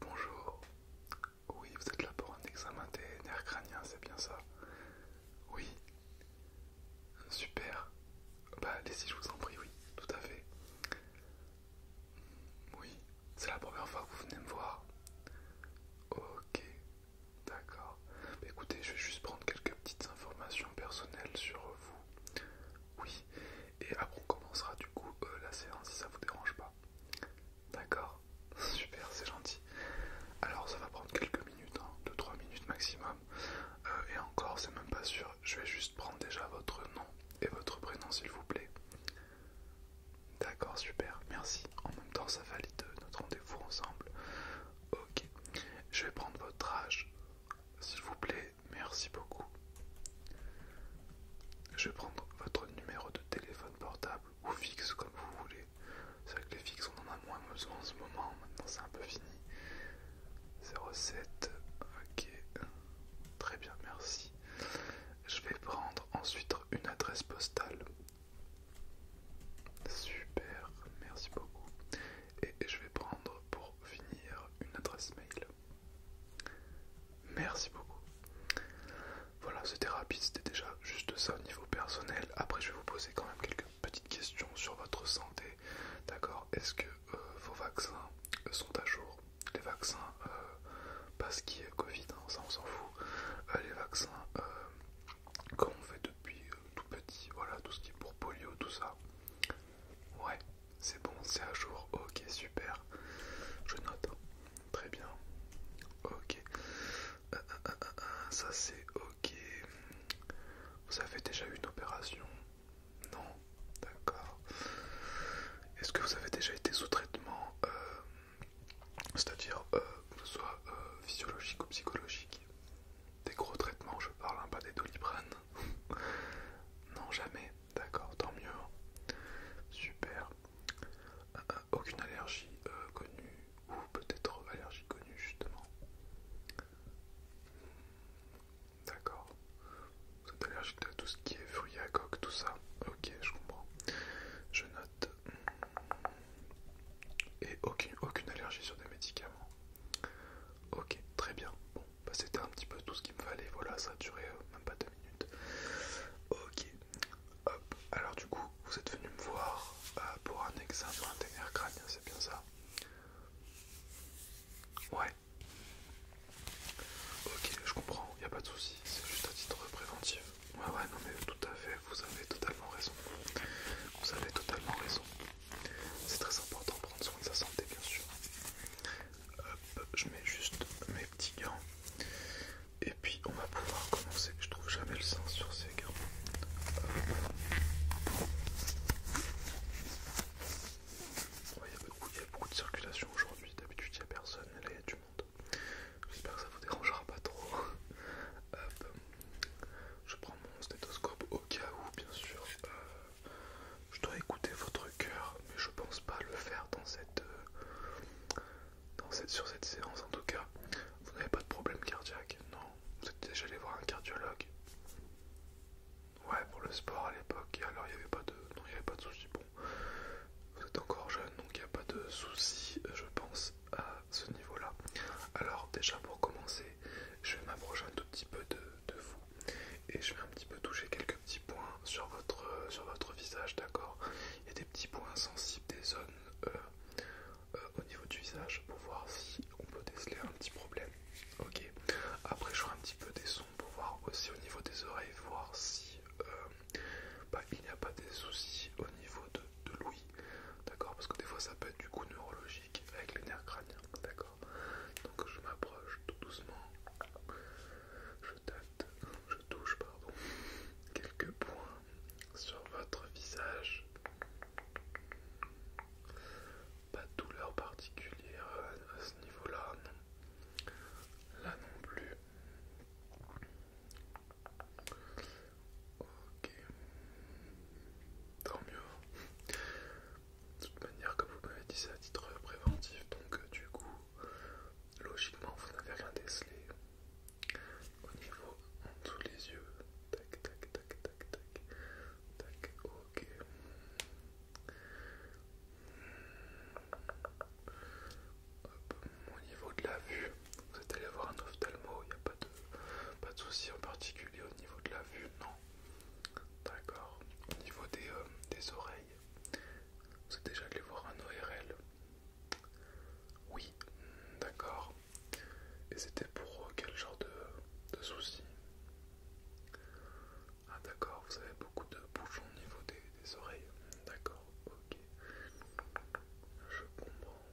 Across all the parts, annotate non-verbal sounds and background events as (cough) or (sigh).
Bonjour. Oui, vous êtes là pour un examen des nerfs crâniens, c'est bien ça Oui. Super. Bah allez-y, je vous en prie, oui, tout à fait. Hmm, oui, c'est la première fois que vous venez me voir. Ok, d'accord. Bah, écoutez, je vais juste prendre quelques petites informations personnelles sur vous. Oui, et après on commencera du coup euh, la séance si ça vous dérange pas. D'accord, super, c'est gentil. Alors ça va prendre quelques minutes, 2-3 hein. minutes maximum. Euh, et encore, c'est même pas sûr. Je vais juste prendre déjà votre nom et votre prénom s'il vous plaît. D'accord, super, merci. En même temps, ça valide notre rendez-vous ensemble. Ok, je vais prendre votre âge, s'il vous plaît, merci beaucoup. Je vais prendre votre numéro de téléphone portable ou fixe comme vous voulez. C'est vrai que les fixes on en a moins besoin en ce moment, maintenant c'est un peu fini. 07, ok, très bien, merci. Je vais prendre ensuite une adresse postale. Super, merci beaucoup. Et je vais prendre pour finir une adresse mail. Merci beaucoup. Voilà, c'était rapide, c'était déjà juste ça au niveau personnel. Après, je vais vous poser quand même quelques petites questions sur votre santé. D'accord Est-ce que euh, vos vaccins sont à jour Les vaccins, euh, pas ce qui est Covid, hein, ça on s'en fout. Euh, les vaccins, qu'on on fait depuis tout petit, voilà, tout ce qui est pour polio, tout ça. Ouais, c'est bon, c'est à jour. Ok, super. Je note. Très bien. Ok. Euh, euh, euh, ça c'est ok. Vous avez déjà eu une opération Non D'accord. Est-ce que vous avez déjà été sous traitement C'est-à-dire, ce soit physiologique ou psychologique Des gros traitements, je parle, hein, pas des doliprane. (laughs) non, jamais. D'accord, tant mieux. Super. Euh, aucune allergie euh, connue, ou peut-être allergie connue, justement. D'accord. Vous êtes allergique à tout ce qui est fruits à coque, tout ça. Ok, je comprends. Je note. Et aucune, aucune allergie sur des médicaments. Ok, très bien. Bah, c'était un petit peu tout ce qu'il me fallait. Voilà, ça a duré euh, même pas deux minutes. Ok, hop. Alors, du coup, vous êtes venu me voir euh, pour un examen intérieur crânien, c'est bien ça Ouais. Ok, je comprends, il n'y a pas de souci, c'est juste à titre préventif. Ouais, ouais, non, mais tout à fait, vous avez totalement raison. Vous avez totalement raison. C'est très important de prendre soin de sa santé, bien sûr. je mets juste mes petits gants. Et puis on va pouvoir commencer. Je trouve jamais le sens sur ces gants. il y a beaucoup, de circulation aujourd'hui. D'habitude, il n'y a personne, là, il y a du monde. J'espère que ça vous dérangera pas trop. Je prends mon stéthoscope au cas où, bien sûr, euh, euh, je dois écouter votre cœur, mais je pense pas le faire dans cette, euh, dans cette, sur cette séance en tout cas. Vous n'avez pas de problème cardiaque, non Vous êtes déjà allé voir un cardiologue Ouais, pour le sport à l'époque, alors il n'y avait pas de, non, il avait pas de souci. Bon, vous êtes encore jeune, donc il n'y a pas de souci, je pense, à ce niveau-là. Alors déjà pour commencer, je vais m'approcher un tout petit peu de de, vous et je vais un petit peu toucher quelques petits points sur votre, euh, sur votre visage, d'accord Il y a des petits points sensibles, des zones euh, euh, au niveau du visage pour voir si on peut déceler un petit problème, ok Après, je ferai un petit peu des sons pour voir aussi au niveau des oreilles, voir si bah, il n'y a pas des soucis au niveau de, de l'ouïe, d'accord Parce que des fois, ça peut être du coup neurologique avec les nerfs crâniens, d'accord donc je m'approche tout doucement, je tâte, je touche pardon, quelques points sur votre visage. Pas de douleur particulière à ce niveau-là, non. Là non plus. Ok. Tant mieux. De toute manière, comme vous m'avez dit, c'est à titre préventif, donc euh, du coup, logiquement, vous n'avez rien décelé au niveau en dessous les yeux. Tac, tac, tac, tac, tac, tac, ok. Au niveau de la vue, vous êtes allé voir un ophtalmo, il n'y a pas de, pas de souci en particulier au niveau de la vue, non, D'accord. Au niveau des, euh, des oreilles, vous êtes déjà allé voir un ORL Oui, d'accord. Et c'était pour euh, quel genre de, de soucis Ah d'accord, vous avez beaucoup de bouchons au niveau des oreilles. D'accord, ok. Je comprends.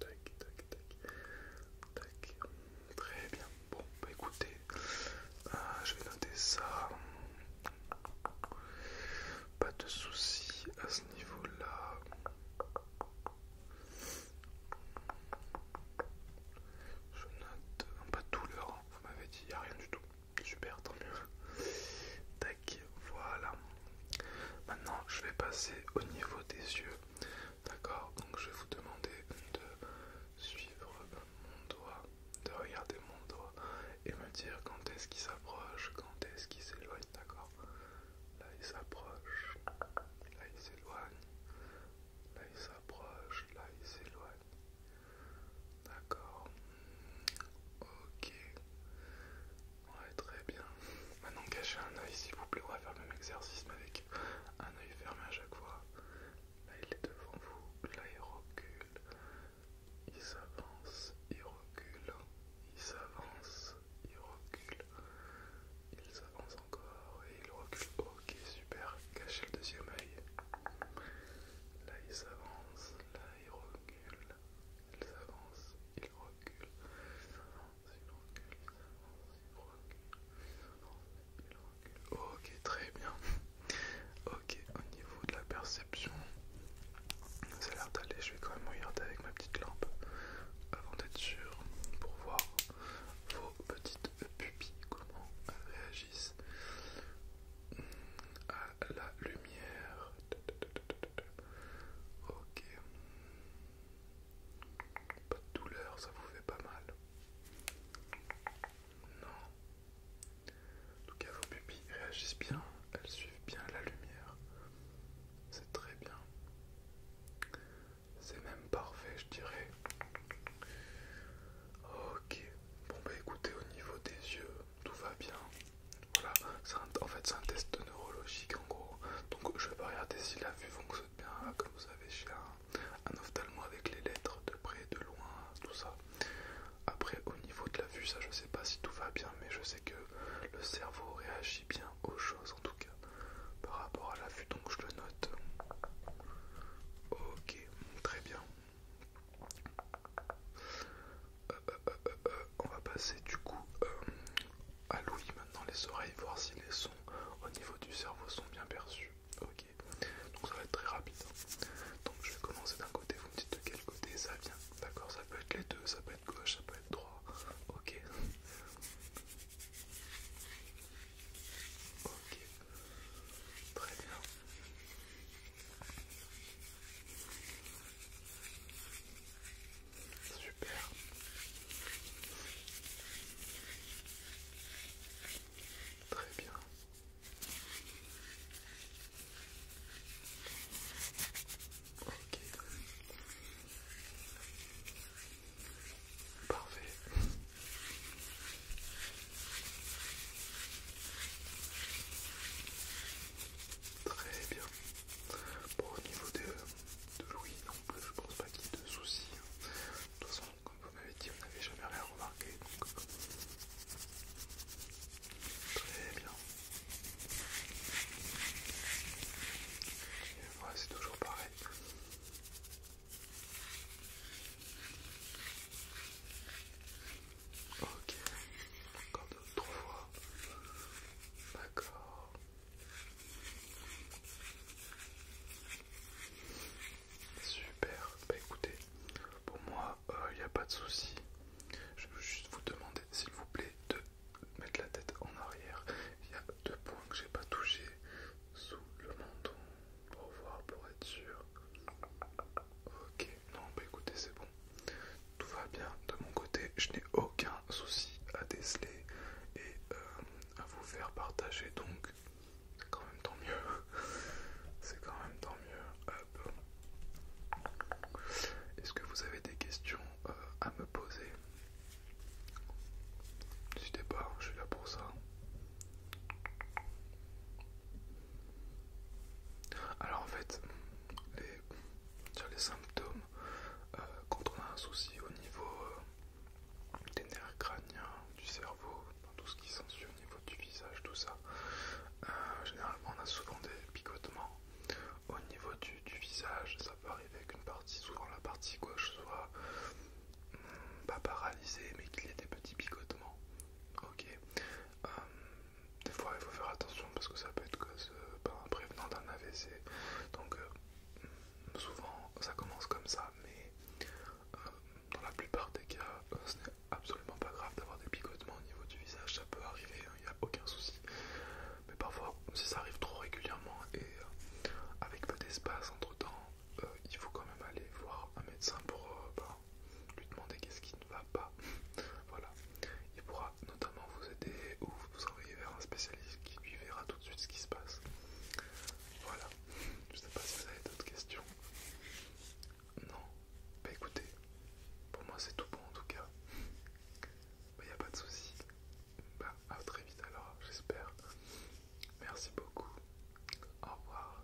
Tac, tac, tac, tac. Très bien. Bon, bah, écoutez, euh, je vais noter ça. Pas de soucis à ce niveau-là. Je note euh, pas de douleur, hein. vous m'avez dit, il a rien du tout. Super, tant mieux. Tac, voilà. Maintenant, je vais passer au niveau des yeux. D'accord Donc, je vais vous demander de suivre mon doigt, de regarder mon doigt et me dire quand est-ce qu'il s'approche, quand est-ce qu'il s'éloigne. D'accord Là, il s'approche. Là, il s'éloigne. Là, il s'approche. Là, il s'éloigne. D'accord Ok. Ouais, très bien. Maintenant, cachez un œil, s'il vous plaît. On va faire le même exercice, mais avec un œil fermé à chaque fois. Là, il est devant vous. Là, il recule. Il s'avance. Il recule. Il s'avance. Il recule. Il s'avance encore et il recule. Ok, super. Cachez le deuxième œil. Là, il s'avance. Là, il recule. Il s'avance il recule, Ok, très bien. Ok, au niveau de la perception, ça a l'air d'aller. Je vais quand même regarder avec ma petite lampe avant d'être sûr pour voir vos petites pupilles comment elles réagissent à la lumière. Ok. Pas de douleur, ça vous fait pas mal. Non. En tout cas, vos pupilles réagissent bien, elles suivent bien la lumière. C'est très bien. C'est même parfait, je dirais. Ok. Bon bah écoutez, au niveau des yeux, tout va bien. Voilà, en fait c'est un test neurologique en gros. Donc je vais regarder si la vue fonctionne bien, comme vous avez chez un, un ophtalmo avec les lettres de près, de loin, tout ça. Après au niveau de la vue, ça je sais pas si tout va bien, mais je sais que le cerveau réagit bien aux choses en tout cas par rapport à la vue, donc je le note. Ok, très bien. Euh, euh, euh, on va passer du coup à l'ouïe maintenant, les oreilles, voir si les sons au niveau du cerveau sont bien perçus. Ok, donc ça va être très rapide. Hein. Donc je vais commencer d'un côté, vous me dites de quel côté ça vient. D'accord, ça peut être les deux, ça peut être gauche, ça peut être droit. Ok. Ok. Très bien. Super. Très bien. Ok. Parfait. Très bien. Bon, au niveau de, l'ouïe Louis, non je pense pas qu'il y ait de soucis. Hein. De toute façon, comme vous m'avez dit, on n'avait jamais rien remarqué. Donc... Euh, très bien. Et voilà, c'est toujours pareil. Ok. Encore deux, trois fois. D'accord. Super. Bah écoutez, pour moi, il euh, n'y a pas de souci. Je veux juste vous demander, s'il vous plaît, de mettre la tête en arrière. Il y a deux points que j'ai pas touché sous le menton. Pour voir, pour être sûr. Ok non bah écoutez c'est bon, tout va bien de mon côté, je n'ai aucun souci à déceler et euh, à vous faire partager donc c'est quand même tant mieux, (laughs) c'est quand même tant mieux, Est-ce que vous avez des questions euh, à me poser N'hésitez pas, je suis là pour ça. Alors en fait, sur les symptômes, euh, quand on a un souci au niveau euh, des nerfs crâniens, du cerveau, tout ce qui s'ensuit au niveau du visage, tout ça, euh, généralement on a souvent des picotements au niveau du, visage. Ça peut arriver qu'une partie, souvent la partie gauche, soit hmm, pas paralysée, mais qu'il y ait des petits picotements. Ok, des fois il faut faire attention parce que ça peut être cause par ben, un prévenant d'un AVC. Donc euh, souvent ça commence comme ça, mais euh, dans la plupart des cas, euh, ce n'est absolument pas grave d'avoir des picotements au niveau du visage, ça peut arriver, il hein, n'y a aucun souci. Mais parfois, si ça arrive trop régulièrement et avec peu d'espace entre temps, il faut quand même aller voir un médecin pour ben, lui demander qu'est-ce qui ne va pas. (laughs) voilà, il pourra notamment vous aider ou vous envoyer vers un spécialiste qui lui verra tout de suite ce qui se passe. Voilà, je sais pas si vous avez d'autres questions. Non, bah écoutez, pour moi c'est tout bon en tout cas. Bah y a pas de souci. Bah à très vite alors, j'espère. Merci beaucoup. Au revoir.